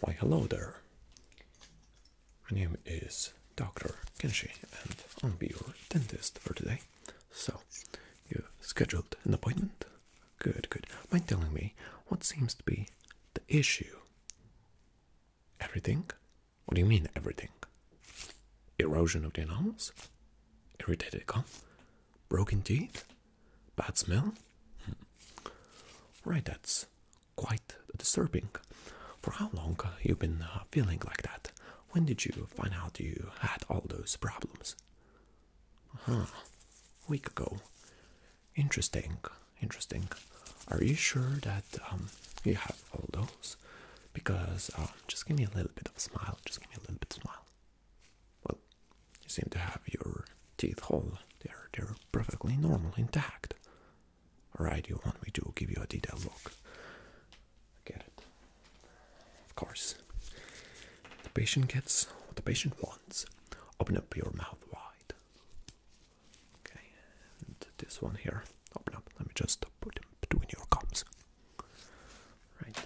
Why, hello there. My name is Dr. Kenshi, and I'll be your dentist for today. So, you scheduled an appointment? Good, good. Mind telling me what seems to be the issue? Everything? What do you mean, everything? Erosion of the enamel? Irritated gum? Broken teeth? Bad smell? Hmm. Right, that's quite disturbing. For how long you have been uh, feeling like that? When did you find out you had all those problems? Huh. A week ago. Interesting. Interesting. Are you sure that um, you have all those? Because uh, just give me a little bit of a smile. Just give me a little bit of a smile. Well, you seem to have your teeth whole. They're they're perfectly normal, intact. Alright, you want me to give you a detailed look. get it. Of course. The patient gets what the patient wants. Open up your mouth wide. Okay, and this one here. Open up. Let me just put him between your gums. Right.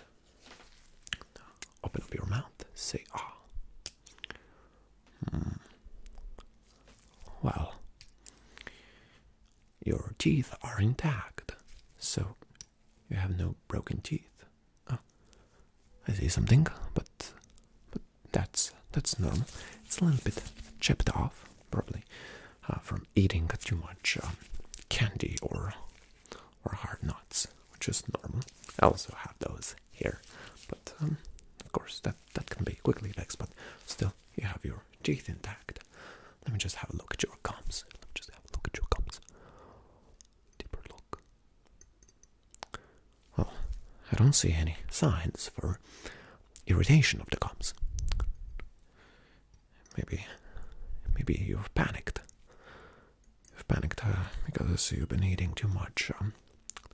open up your mouth. Say ah. Hmm. Well, your teeth are intact, so you have no broken teeth. Ah, I see something, but that's that's normal. It's a little bit chipped off, probably. Uh, from eating too much um, candy or or hard nuts, which is normal. I also have those here, but um, of course that that can be quickly fixed. But still, you have your teeth intact. Let me just have a look at your gums. Let me just have a look at your gums. Deeper look. Well, I don't see any signs for irritation of the gums. Maybe, maybe you've panicked. You've panicked uh, because you've been eating too much um,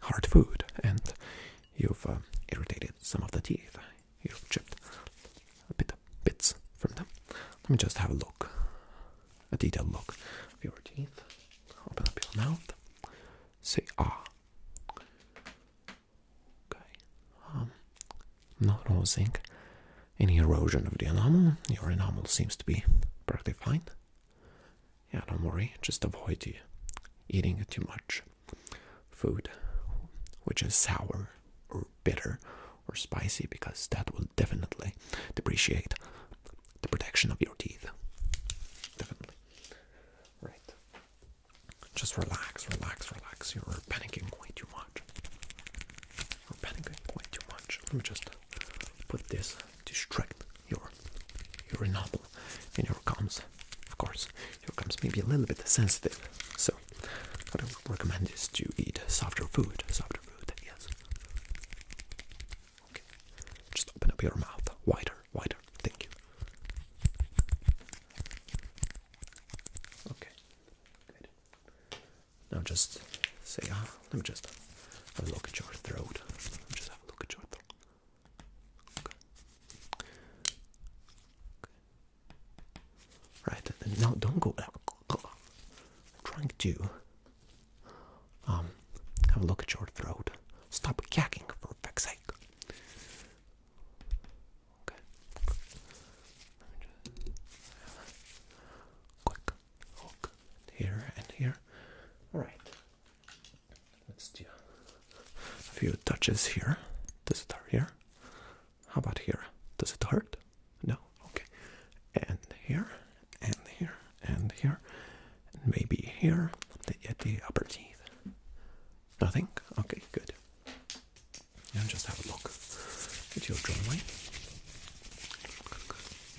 hard food, and you've uh, irritated some of the teeth. You've chipped a bit bits from them. Let me just have a look, a detailed look of your teeth. Open up your mouth. Say ah. Okay. Um, not noticing any erosion of the enamel. Your enamel seems to be perfectly fine. Yeah, don't worry. Just avoid eating too much food, which is sour or bitter or spicy, because that will definitely depreciate the protection of your teeth. Definitely. Right. Just relax, relax, relax. You're panicking quite too much. You're panicking way too much. Let me just put this to strengthen your your novel and your gums. Of course, your gums maybe a little bit sensitive. So what I would recommend is to eat softer food. Softer food, yes. Just open up your mouth wider wider, Thank you. Okay. Good. Now just say, ah, let me just have a look at your throat. just have a look at your throat. Okay. Right. now don't go. Uh, i trying to um have a look at your throat. Stop gagging for a fuck's Okay. Let me just have quick here and here. Alright. Let's do a few touches here. Does it hurt here? How about here? Does it hurt? No? Okay. And here, and here, and here, maybe here at the upper teeth. Nothing? Okay, good. Now just have a look at your jawline.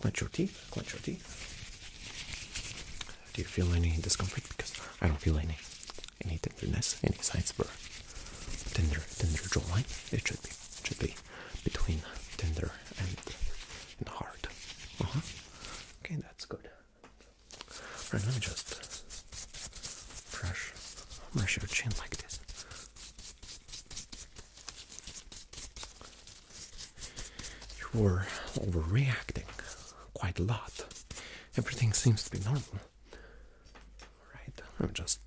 Clench your teeth, clench your teeth. Do you feel any discomfort? Because I don't feel any any tenderness, any signs for tender tender jawline. It should be it should be between tender and and hard. Uh-huh. Okay, that's good. All right, let me just brush, brush your chin like this. You were overreacting quite a lot. Everything seems to be normal. All right, let me just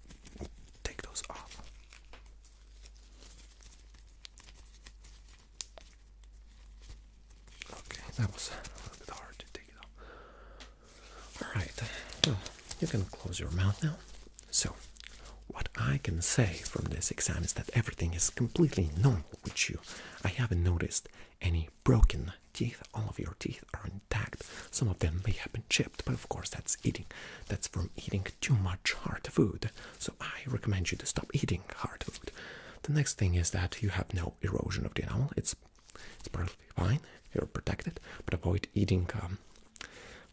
take those off. Okay, that was a little bit hard to take though. Alright, you can close your mouth now. So, what I can say from this exam is that everything is completely normal with you. I haven't noticed any broken teeth. All of your teeth are intact. Some of them may have been chipped, but of course that's eating. That's from eating too much hard food. So I recommend you to stop eating hard food. The next thing is that you have no erosion of the enamel. It's it's perfectly fine. You're protected, but avoid eating um,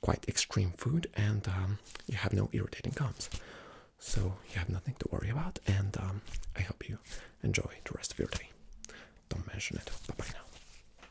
quite extreme food, and um, you have no irritating gums. So you have nothing to worry about, and um, I hope you enjoy the rest of your day. Don't mention it. Bye bye now.